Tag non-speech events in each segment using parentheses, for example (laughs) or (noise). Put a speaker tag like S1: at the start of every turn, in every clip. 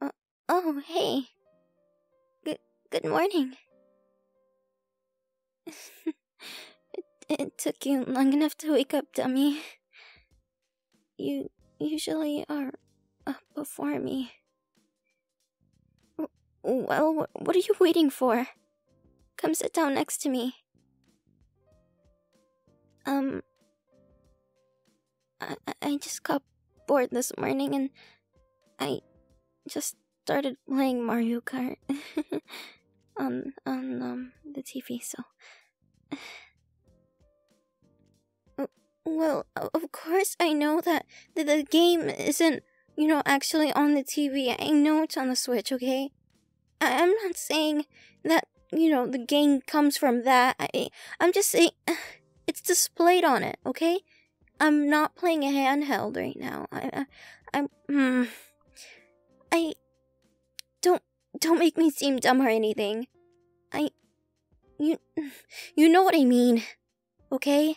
S1: Uh, oh, hey. Good good morning. (laughs) it took you long enough to wake up, dummy. You usually are up before me. Well, what are you waiting for? Come sit down next to me. Um, I, just got bored this morning and I just started playing Mario Kart (laughs) on on um, the TV. So, well, of course I know that the, game isn't you know actually on the TV. I know it's on the Switch. Okay, I, I'm not saying that you know the game comes from that. I I'm just saying. (sighs) It's displayed on it, okay? I'm not playing a handheld right now. I. I I'm. Hmm. I. Don't. Don't make me seem dumb or anything. I. You. (sighs) You know what I mean, okay?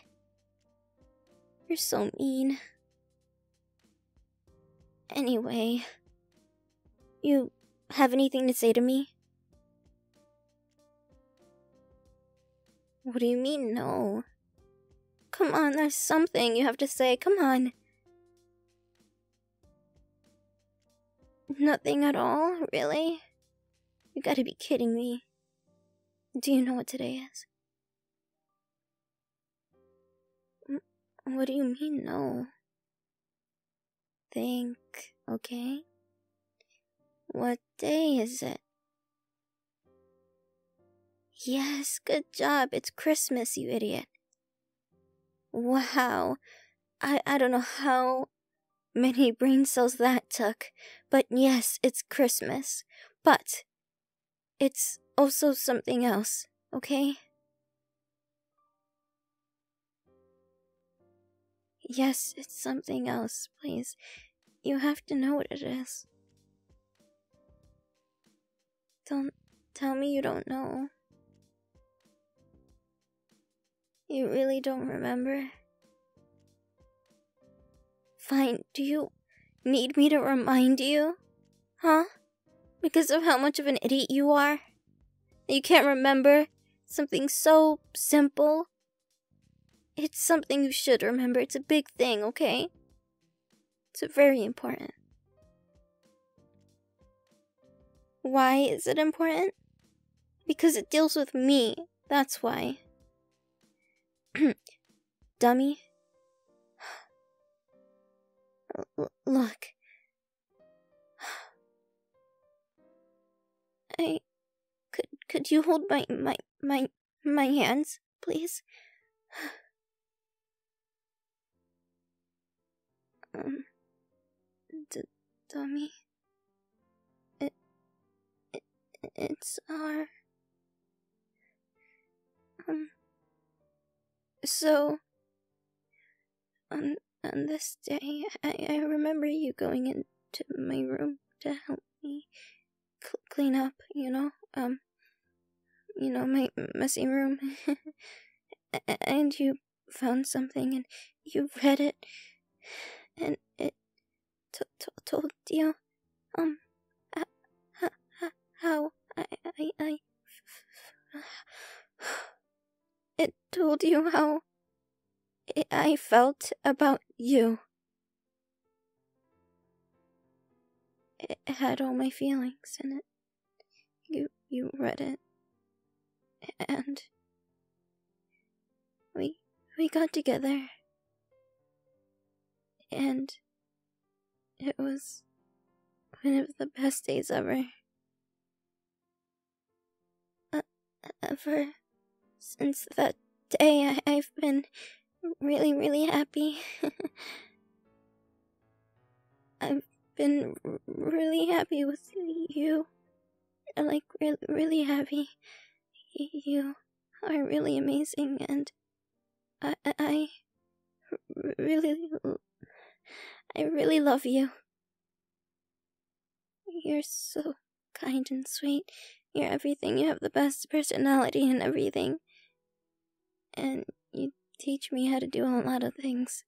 S1: You're so mean. Anyway, you have anything to say to me? What do you mean, no? Come on, there's something you have to say. Come on. Nothing at all? Really? You gotta be kidding me. Do you know what today is? What do you mean, no? Think, okay? What day is it? Yes, good job. It's Christmas, you idiot. Wow. I, I don't know how many (laughs) brain cells that took, but yes, it's Christmas. But it's also something else, okay? Yes, it's something else, please. You have to know what it is. Don't tell me you don't know. You really don't remember? Fine, do you need me to remind you? Huh? Because of how much of an idiot you are? You can't remember something so simple. It's something you should remember. It's a big thing, okay? It's very important. Why is it important? Because it deals with me. That's why. (clears throat) Dummy. (sighs) look, (sighs) I could could you hold my my my my hands, please? (sighs) um, d dummy. It, it it's our um. So um on this day, I, I remember you going into my room to help me clean up, you know, um, you know, my messy room. and you found something and you read it, and it told t- told you, um, how I, I, I, it told you how I felt about you. It had all my feelings in it. You you read it. And we we got together. And it was one of the best days ever. Uh, ever since that day, I have been really, really happy. (laughs) I've been really happy with you. Like, really, really happy. You are really amazing, and I, I really, I really love you. You're so kind and sweet. You're everything. You have the best personality and everything. And you teach me how to do a lot of things.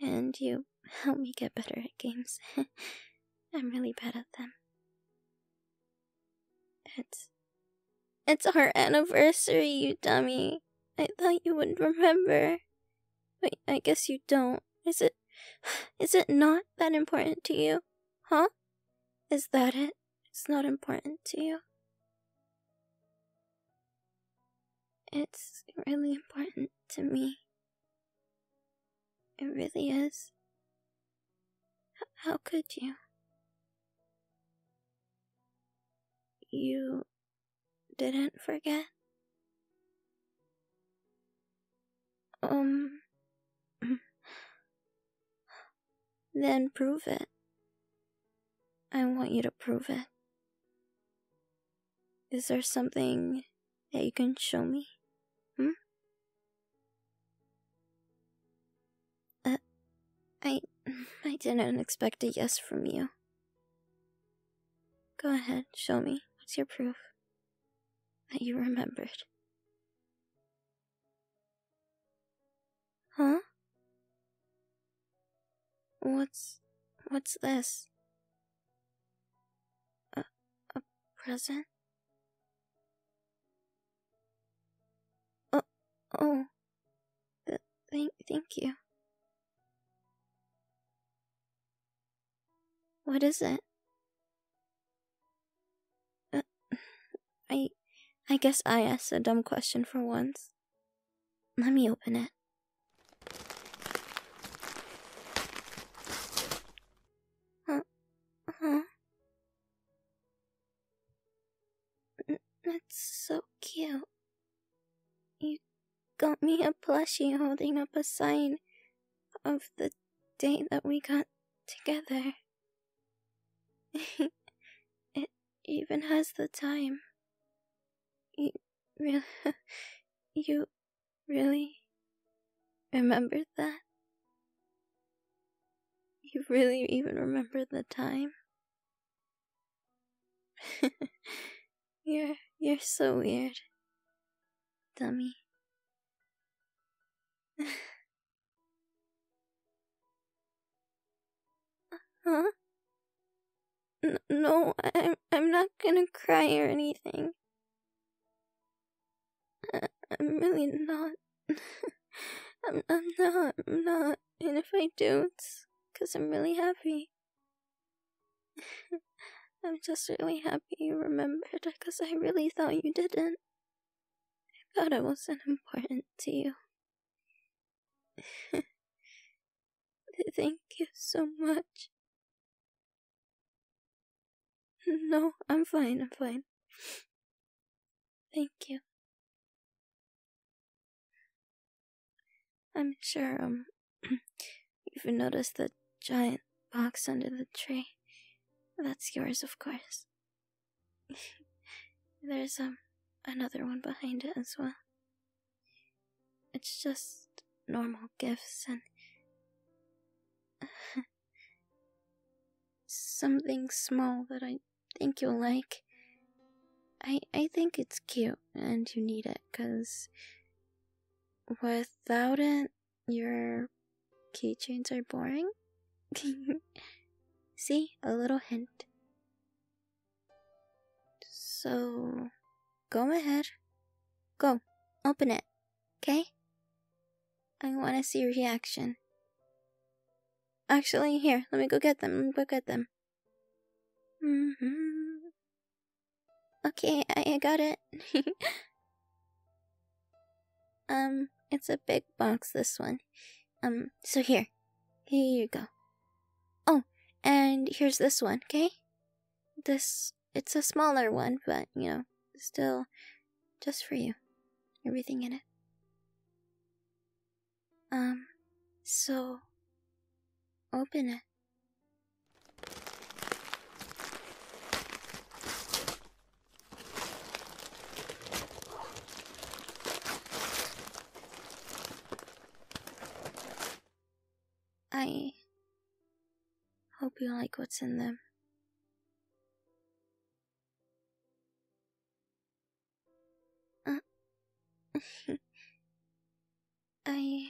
S1: And you help me get better at games. (laughs) I'm really bad at them. It's. It's our anniversary, you dummy. I thought you would remember. But I guess you don't. Is it (sighs) is it not that important to you? Huh? Is that it? It's not important to you. It's really important to me. It really is. how could you? You didn't forget? Um. (laughs) then prove it. I want you to prove it. Is there something that you can show me? Hmm? Uh, I. (laughs) I didn't expect a yes from you. Go ahead, show me. What's your proof? That you remembered. Huh? What's. what's this? A. a present? Oh. oh. thank, thank you. What is it? Uh, (sighs) I I guess I asked a dumb question for once. Let me open it. Huh? Huh? (clears throat) That's so cute. You got me a plushie holding up a sign of the date that we got together. (laughs) it even has the time. You really, (laughs) you really remembered that? You really even remembered the time? (laughs) you're you're so weird. Dummy. (laughs) huh? no, I'm I'm not gonna cry or anything. I am really not. (laughs) I'm, I'm not. I'm not. And if I don't, because I'm really happy. (laughs) I'm just really happy you remembered, because I really thought you didn't. I thought I wasn't important to you. (laughs) Thank you so much. No, I'm fine, I'm fine. Thank you. I'm sure, um, (clears throat) you've noticed the giant box under the tree. That's yours, of course. (laughs) There's, um, another one behind it as well. It's just normal gifts and. (laughs) something small that I think you'll like. I I think it's cute and you need it cuz without it your keychains are boring. (laughs) See, a little hint. So, go ahead. Go. Open it. Okay? I want to see your reaction. Actually, here, let me go get them. go get them. Mm-hmm. Okay, I, I got it. (laughs) um, it's a big box, this one. Um, so here. Here you go. Oh, and here's this one, okay? This, it's a smaller one, but, you know, still just for you. Everything in it. Um, so open it. I hope you like what's in them. Uh, (laughs) I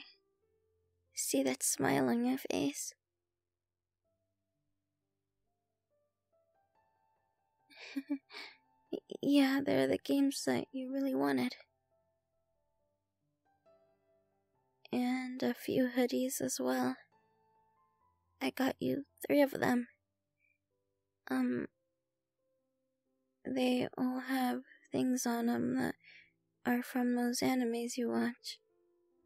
S1: see that smile on your face.
S2: (laughs) yeah, they're the
S1: games that you really wanted. And a few hoodies as well. I got you three of them. Um, they all have things on 'em that are from those animes you watch.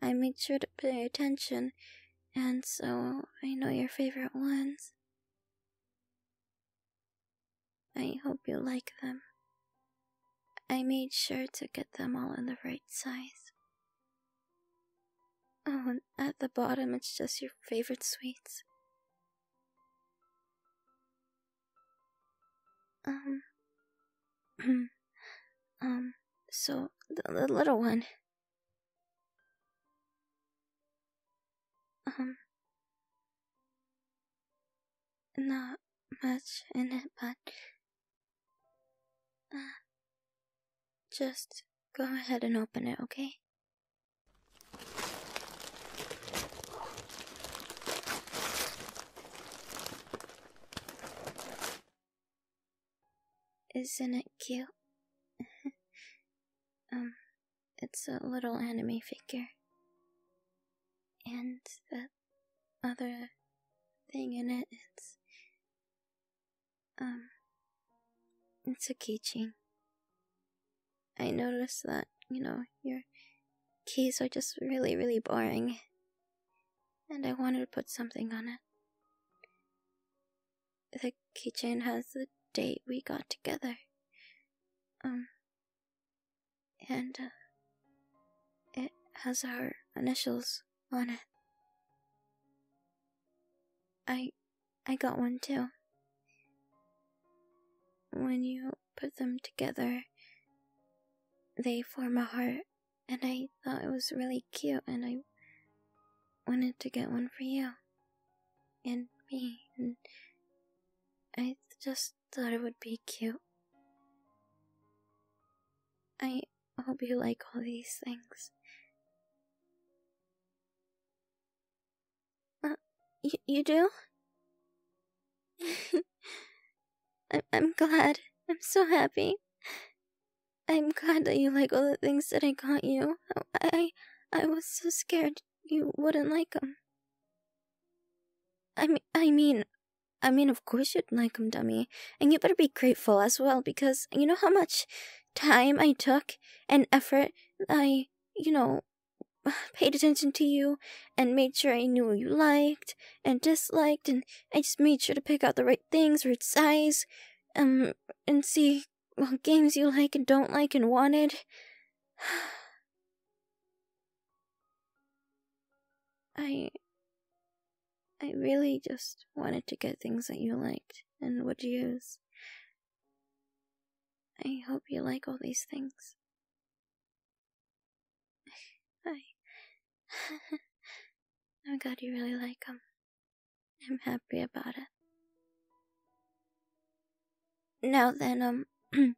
S1: I made sure to pay attention, and so I know your favorite ones. I hope you like them. I made sure to get them all in the right size. Oh, and at the bottom it's just your favorite sweets. Um. (clears throat) um, so the, little one. Um. Not much in it, but. Uh, just go ahead and open it, okay? Isn't it cute? (laughs) um, it's a little anime figure. And the other thing in it, it's um, it's a keychain. I noticed that, you know, your keys are just really, really boring. And I wanted to put something on it. The keychain has the date we got together. Um, and uh, it has our initials on it. I I got one too. When you put them together, they form a heart, and I thought it was really cute, and I wanted to get one for you and me, and I just thought it would be cute. I hope you like all these things. Uh, you do? (laughs) I am glad. I'm so happy. I'm glad that you like all the things that I got you. I, I, I was so scared you wouldn't like them. I mean, I mean, I mean, of course you'd like them, dummy. And you better be grateful as well, because you know how much time I took and effort I, you know, (sighs) paid attention to you and made sure I knew what you liked and disliked, and I just made sure to pick out the right things, right size, um, and see what games you like and don't like and wanted. (sighs) I. I really just wanted to get things that you liked and would use I hope you like all these things. I. (laughs) (laughs) I'm glad you really like them. I'm happy about it. Now then, um. (clears throat)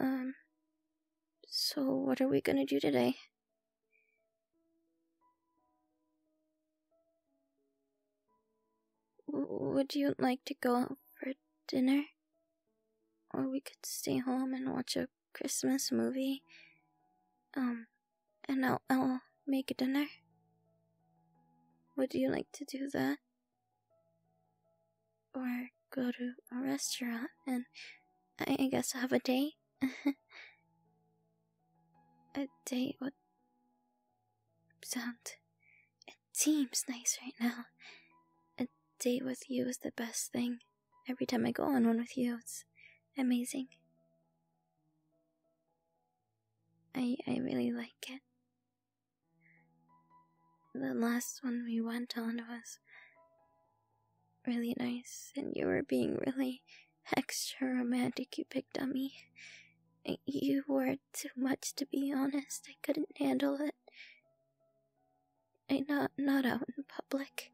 S1: um. So, what are we gonna do today? Would you like to go out for dinner? Or we could stay home and watch a Christmas movie. Um, and I'll, make a dinner. Would you like to do that? Or go to a restaurant and I guess have a date? (laughs) A date would sound. It seems nice right now. A date with you is the best thing. Every time I go on one with you, it's amazing. I, I really like it. The last one we went on was really nice, and you were being really extra romantic you picked on me. You were too much, to be honest. I couldn't handle it. I not not out in public.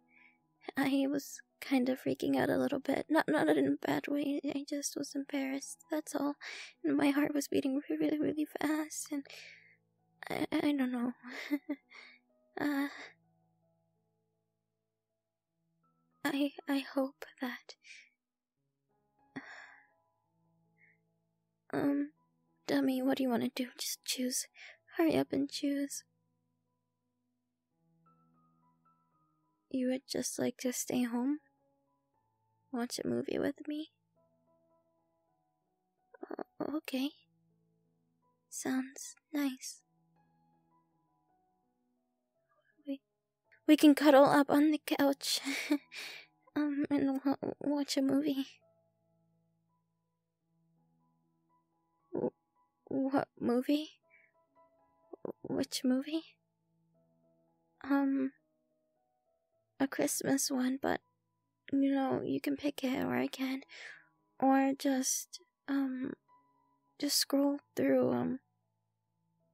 S1: I was kind of freaking out a little bit. Not not in a bad way. I just was embarrassed. That's all. my heart was beating really really, really fast, and I I don't know. (laughs) uh. I I hope that Um Dummy, what do you want to do? Just choose. Hurry up and choose. You would just like to stay home? Watch a movie with me? Oh, okay. Sounds nice. We, we can cuddle up on the couch (laughs) um, and watch a movie. what movie? Which movie? Um, a Christmas one, but you know, you can pick it or I can. Or just um just scroll through um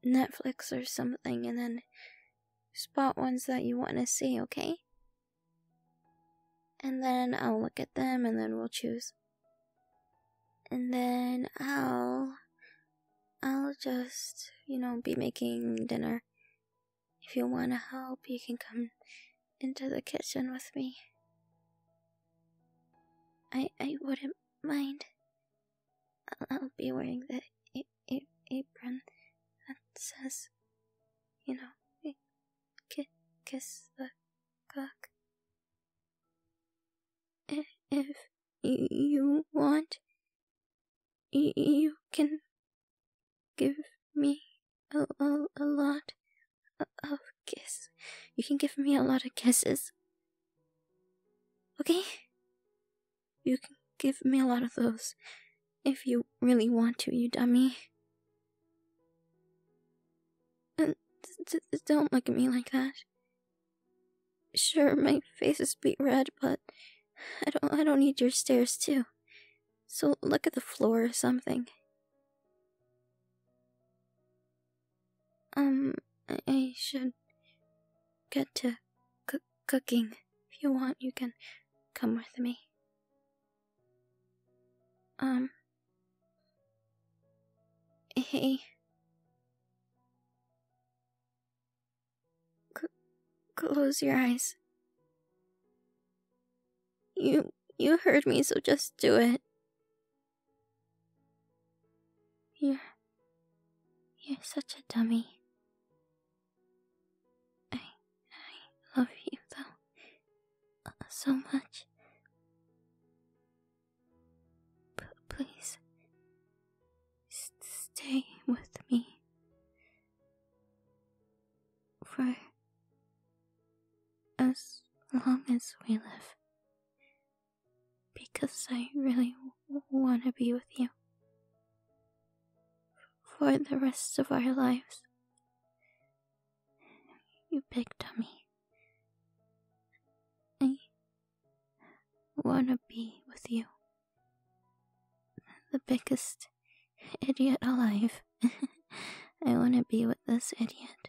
S1: Netflix or something and then spot ones that you want to see, okay? And then I'll look at them and then we'll choose. And then I'll I'll just, you know, be making dinner. If you want to help, you can come into the kitchen with me. I I wouldn't mind. I'll be wearing the a- a- apron that says, you know, kiss the cock. If you want, you can give me a, a, a lot Oh, kiss. You can give me a lot of kisses. Okay? You can give me a lot of those. If you really want to, you dummy. And uh, don't look at me like that. Sure, my face is beat red, but I don't I don't need your stares too. So look at the floor or something. Um, I should get to cooking. If you want, you can come with me. Um, hey. C close your eyes. You you heard me, so just do it. You're. You're such a dummy. I. I love you, though. Uh, so much. P please. stay with me. For. as long as we live. Because I really want to be with you. For the rest of our lives. You big dummy. I want to be with you. The biggest idiot alive. (laughs) I want to be with this idiot.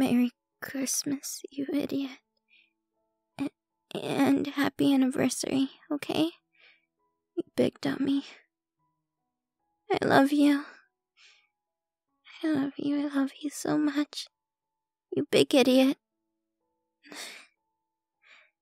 S1: Merry Christmas, you idiot. and happy anniversary, okay? You big dummy. I love you. I love you, I love you so much. You big idiot.